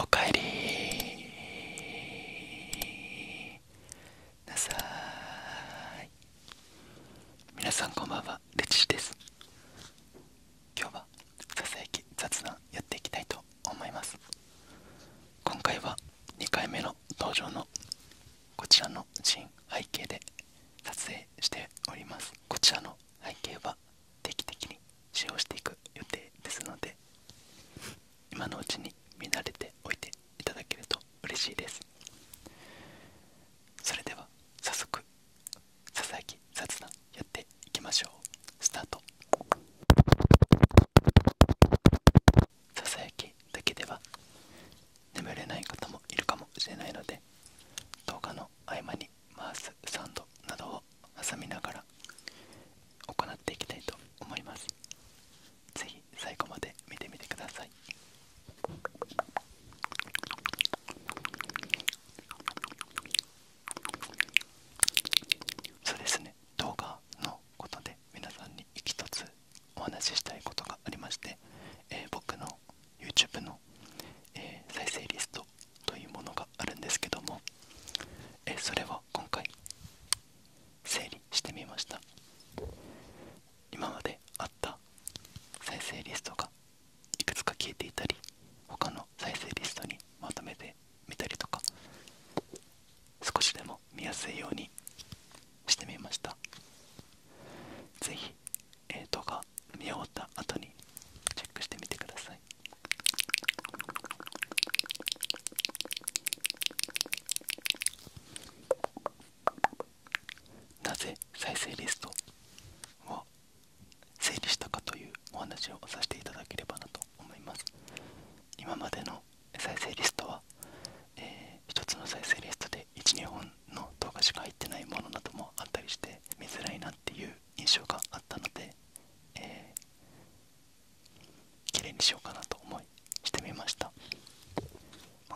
おかえり皆さんこんばんはレチシです今日はささやき雑談やっていきたいと思います今回は2回目の登場のこちらのシ背景で撮影しておりますこちらの背景は定期的に使用していく予定ですので今のうちに見慣れておいていただけると嬉しいですそれでは早速ささやき雑談やっていきましょうスタートささやきだけでは眠れない方もいるかもしれないので動画の合間に回すサンドなどを挟みながら行っていきたいと思います是非最後まで見てみてくださいそうですね動画のことで皆さんに一つお話ししたいことがありまして、え僕の YouTube の、え再生リストというものがあるんですけども、えそれは今回整理してみました今まであった再生リストがいくつか消えていたり他の再生リストにまとめてみたりとか少しでも見やすいようにしてみました是非動画見終わった後にチェックしてみてくださいなぜ再生リストを整理したかというお話をさせていただければなと思います今までの再生リストは、え1つの再生リストで12本の動画しか入ってないものなどもあったりして見づらいなっていう印象があったので、えー、綺麗にしようかなと思いしてみました、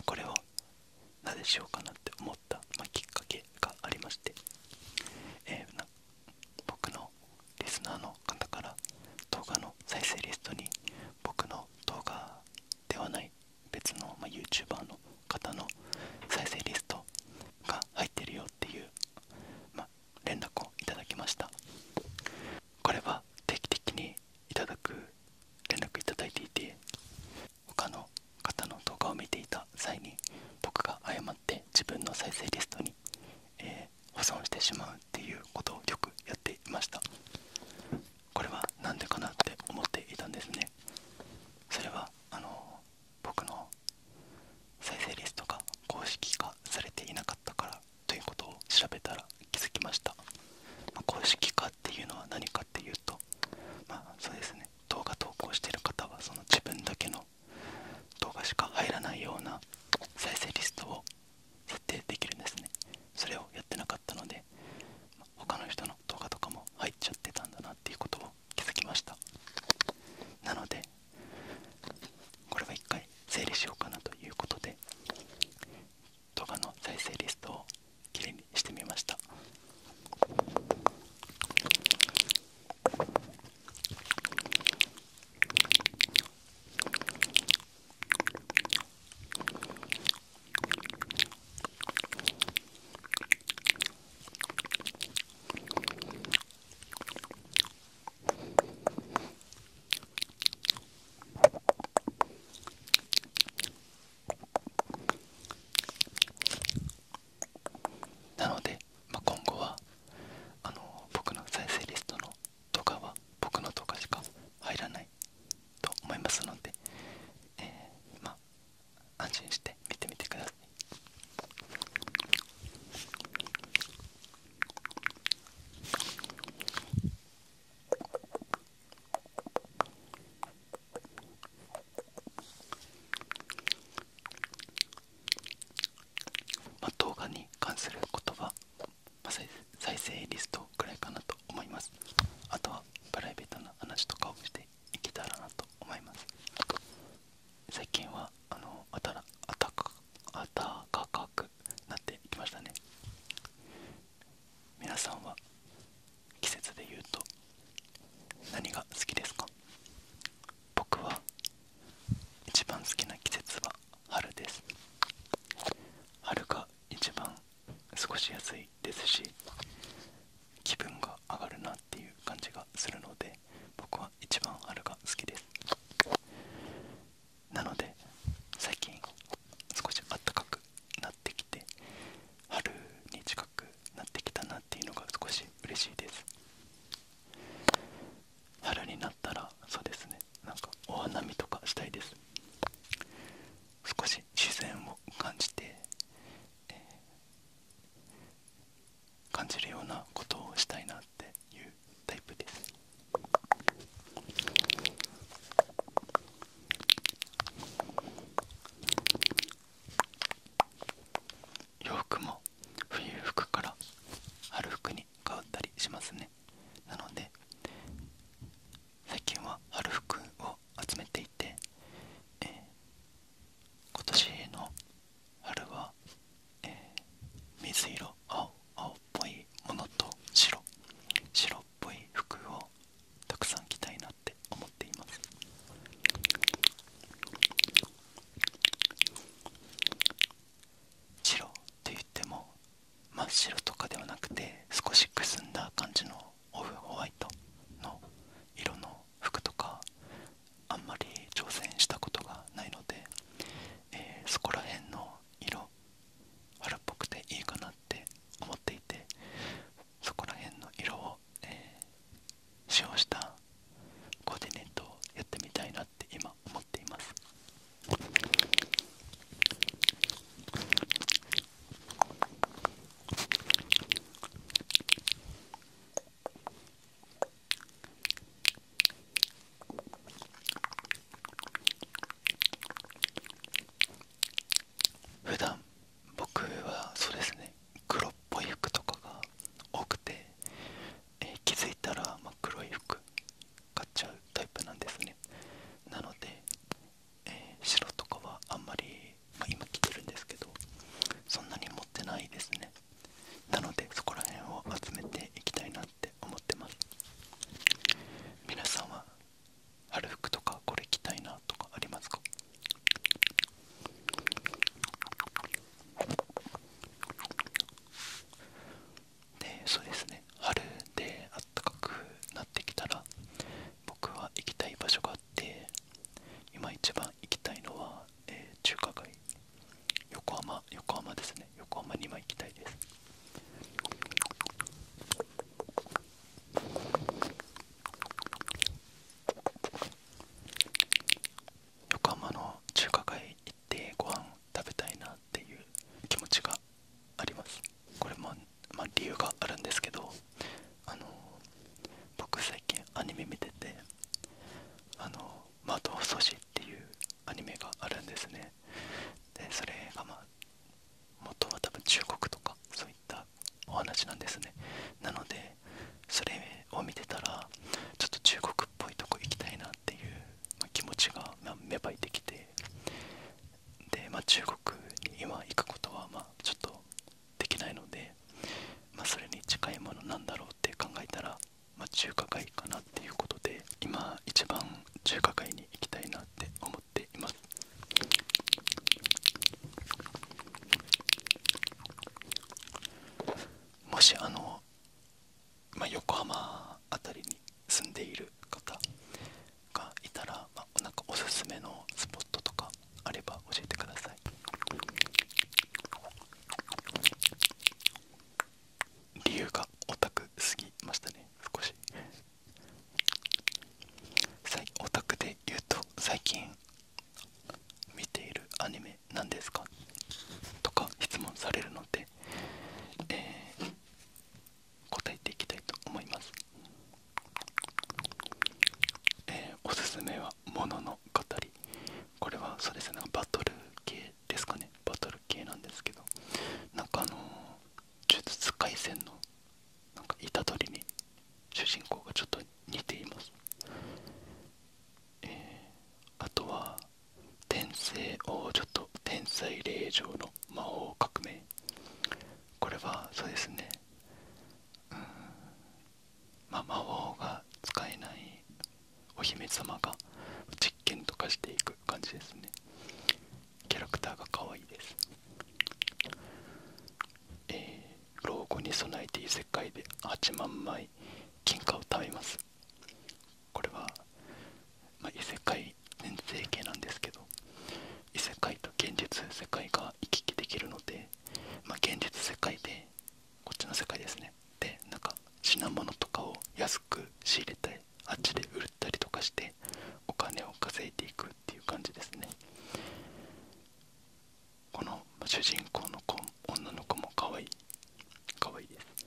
これをなぜしようかなって思った、まきっかけがありまして、えー、僕のリスナーの方から動画の再生リストに僕の動画ではない別の、まあ、YouTuber の方の再生リストが入ってるよっていう、ま連絡をいただきましたこれは定期的にいただく連絡いただいていて他の方の動画を見ていた際に僕が誤って自分の再生リストにえー、破損してしまうっていうことをよくやっていましたこれは何でかなって思っていたんですねそれはあの僕の再生リストが公式化されていなかったからということを調べたら気づきました、公式化っていうのは何かっていうとまあそうですね動画投稿してる方はその自分だけの動画しか入らないような再生リストを設定できるんですねそれをやってなかったので他の人の動画とかも入っちゃってたんだなっていうことを気づきましたなのでこれは一回整理しようかなということで動画の再生リストをきれいにしてみましたなので、今後はあの僕の再生リストの動画は僕の動画しか入らないと思いますので、えー、ま安心して見てみてくださいまあ、動画に関すること再生リストくらいかなと思いますあとはプライベートな話とかをしていけたらなと思います最近はあのあたらあたかあたかくなってきましたね皆さんは季節で言うと何が好きですか僕は一番好きな季節は春です春が一番少しやすいですし気分が上がるなっていう感じがするので僕は一番春が好きですなので最近少し暖かくなってきて春に近くなってきたなっていうのが少し嬉しいです春になったらそうですねなんかお花見とかしたいです少し自然を感じて、感じるようなことをしたいなっていうタイプです洋服も冬服から春服に変わったりしますねなので最近は春服を集めていて、え今年の春は、え水色青青っぽいものと白白っぽい服をたくさん着たいなって思っています白って言っても真っ白とかではなくて少しくすんだ感じのオフホワイトの色の服とかあんまり挑戦したことがないので、えそこら辺の色春っぽくていいかなって思っていてそこら辺の色を、え使用したコーディネートをやってみたいなって今思っています普段僕はそうですね黒っぽい服とかが多くて、気づいたら、まあ、黒い服買っちゃうタイプなんですねなので、え白とかはあんまり、ま今着てるんですけどそんなに持ってないですねなのでそこら辺を集めていきたいなって思ってます皆さんは春服とかこれ着たいなとかありますかでそうですね春であったかくなってきたら僕は行きたい場所があって今一番行きたいのは、え中華街横浜横浜ですね横浜に今行きたいです横浜の中華街ってご飯食べたいなっていう気持ちがありますこれも、ま理由があるんですけどあの僕最近アニメ見てて「あの窓を掃除」っていうアニメがあるんですねでそれがまあ元は多分中国とかそういったお話なんですねなのでそれを見てたらちょっと中国クっぽいとこ行きたいなっていう、まあ、気持ちが、まあ、芽生えてきてで、まあ、中国に今行くことはまあちょっとできないので、まあ、それに近いものなんだろうって考えたら、まあ、中華街かなっていうことで今一番中華街に行きたいなって思っています。もしあのま横浜辺りに住んでいる方がいたら、まなんかおすすめのスポットとかあれば教えてください理由がオタクすぎましたね少しオタクで言うと最近見ているアニメ何ですかとか質問されるので、答えていきたいと思います、えおすすめは「ものの語り」これはそうですねバトル系ですかねバトル系なんですけどなんかあの呪術廻戦のなんか虎りに主人公がちょっと似ていますえー、あとは天聖王女と天才霊場の魔法革命これはそうですねうんまあ魔法が使えないお姫様が実験とかしていく感じですねキャラクターが可愛いですえー、老後に備えてい異世界で8万枚金貨を貯めますこれは、異世界全生系なんですけど異世界と現実世界が行き来できるので、現実世界でこっちの世界ですねでなか品物とかを安く仕入れたりあっちで売ったりとかしてお金を稼いでいくっていう感じですねこの主人公の子女の子も可愛い可愛いです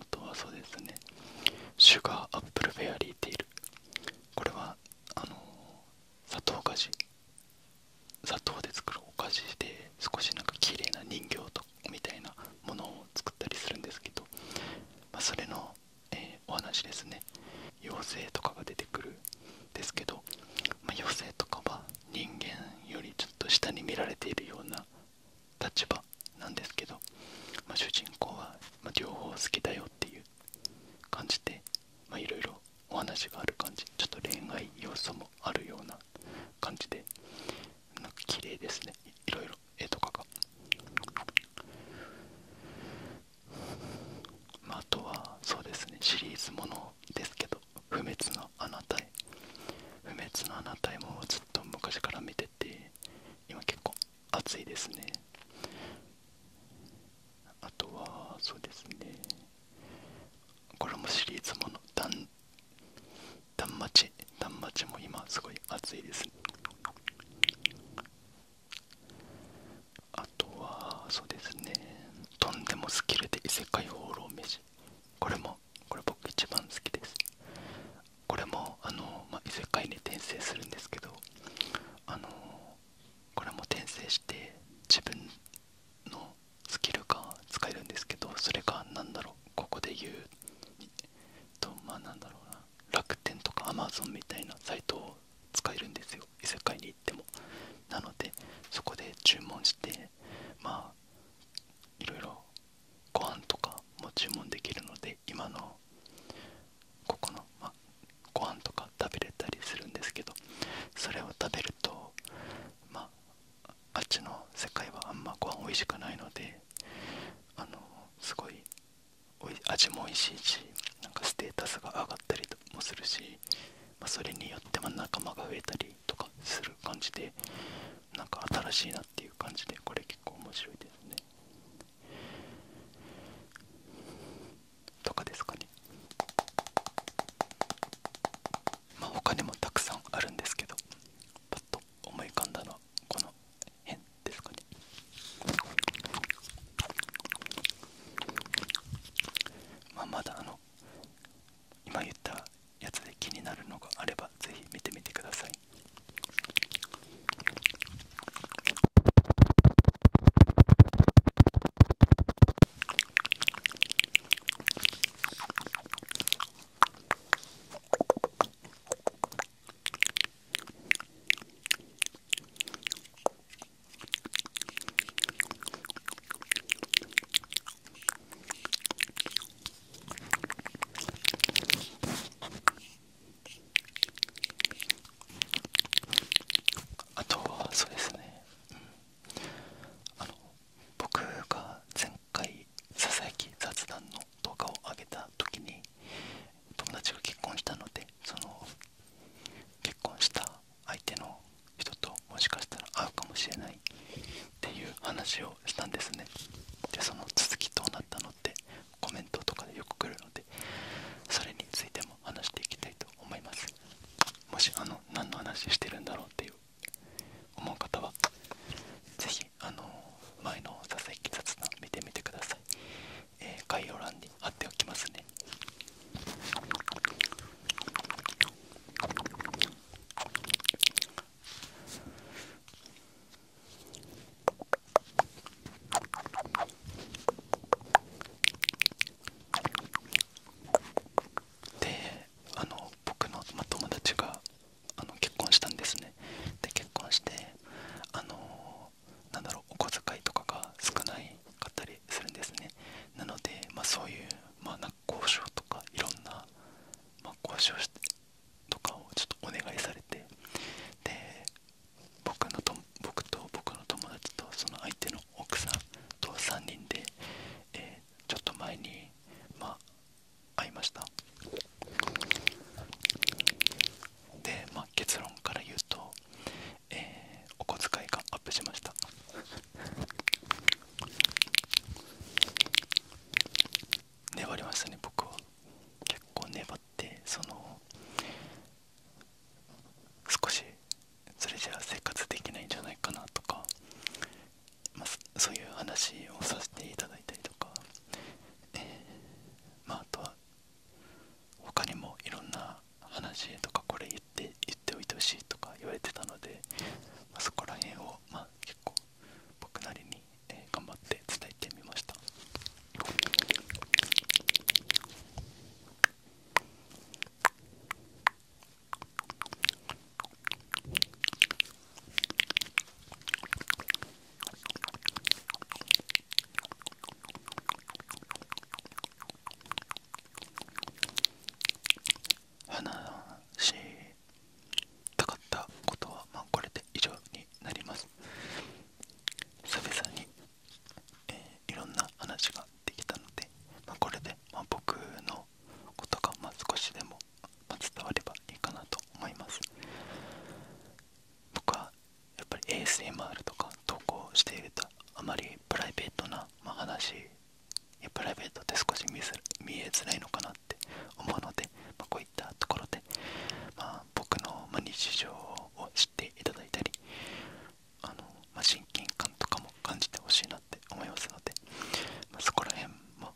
あとはそうですねシュガーアップルフェアリーティールこれはあの砂糖菓子砂糖で作るお菓子で少しなんか綺麗な人形とみたいなものを作ったりするんですけど、まあ、それの、えお話ですね妖精とかが出てくるんですけど、ま妖精とかは人間よりちょっと下に見られているような立場なんですけど、ま主人公は両方好きだよっていう感じでいろいろお話がある感じちょっと恋愛要素もあるような感じでなんか綺麗ですねいろいろ絵とかがまあ、とはそうですねシリーズものですけど「不滅のあなたへ」「不滅のあなたへ」もずっと昔から見てて今結構熱いですねあとはそうですねこれもシリーズものダンマチダンマチも今すごい熱いですねあとはそうですねとんでもスキルで異世界放浪飯これもこれ僕一番好きですこれもあの、ま異世界に転生するんですけどあのこれも転生して自分のスキルが使えるんですけどそれが何だろうここで言うとまあなんだろうな楽天とかアマゾンみたいなサイトを使えるんですよ異世界に行ってもなのでそこで注文してまあいろいろご飯とかも注文できるので今のここの、まあ、ご飯とか食べれたりするんですけどそれを食べるとまああっちの世界はあんまご飯美味しくないのであのすごい味も美味しいしなんかステータスが上がったりもするし、まあ、それによってま仲間が増えたりとかする感じでなんか新しいなっていう感じでこれ結構面白いですねとかですかねまあ他にもたくさんあるんですけどパッと思い浮かんだのはこの辺まあまだあの今言ったやつで気になるのがあればぜひ見てみてくださいあとはそうですね、あの僕が前回ささやき雑談の動画を上げた時に友達が結婚したのでその結婚した相手の人ともしかしたら会うかもしれないっていう話をしたんですねでその続きどうなったのってコメントとかでよく来るのでそれについても話していきたいと思いますもしあの何の話してるんだろうっていう思う方は是非あの前の「ささやき雑談」見てみてくださいえー、概要欄に貼っておきますねであの僕の、ま、友達があの結婚したんですねで結婚してあのなんだろうお小遣いとかが少なかったりするんですねなので、まそういう、まあ、交渉とかいろんな、ま交渉とかをちょっとお願いされてで僕のと僕と僕の友達とその相手の奥さんと3人で、えちょっと前に、まあ、会いましたで、ま結論から言うと、えお小遣いがアップしました粘りましたね僕は結構粘ってその少しそれじゃ生活できないんじゃないかなとか、まあ、そういう話をさせていただいたりとか、えまあとは他にもいろんな話とかこれ言って言っておいてほしいとか言われてたので、まそこら辺を、まあ、結構僕なりに、え頑張って伝えてみました話したかったことは、まこれで以上になります久々に、えいろんな話ができたので、まこれで、ま僕のことが、まあ、少しでも、伝わればいいかなと思います僕はやっぱり ASMR とか投稿しているとあまりプライベートな、話プライベートって少し見えづらいのかなって思うので、まこういったところで、まあ、僕の日常を知っていただいたりあの、ま親近感とかも感じてほしいなって思いますので、まそこら辺も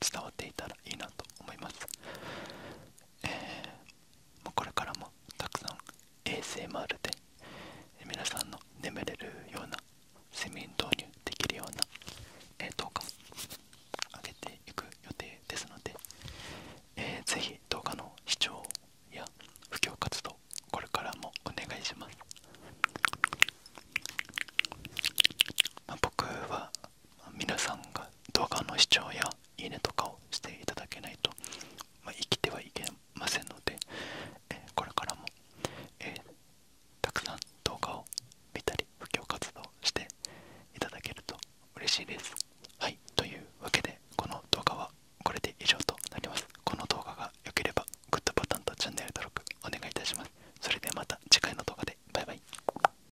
伝わっていたらいいなと思いますえー、これからもたくさん ASMR で皆さんの眠れるような睡眠導入できるような、え動画を上げていく予定ですので、えー、ぜひ動画の視聴や布教活動これからもお願いします、ま僕は皆さんが動画の視聴やいいねとかをしていただけないと、ま生きてはいけませんので、えこれからも、えたくさん動画を見たり布教活動していただけると嬉しいです。はい、というわけでこの動画はこれで以上となります。この動画が良ければグッドボタンとチャンネル登録お願いいたします。それではまた次回の動画でバイバイ。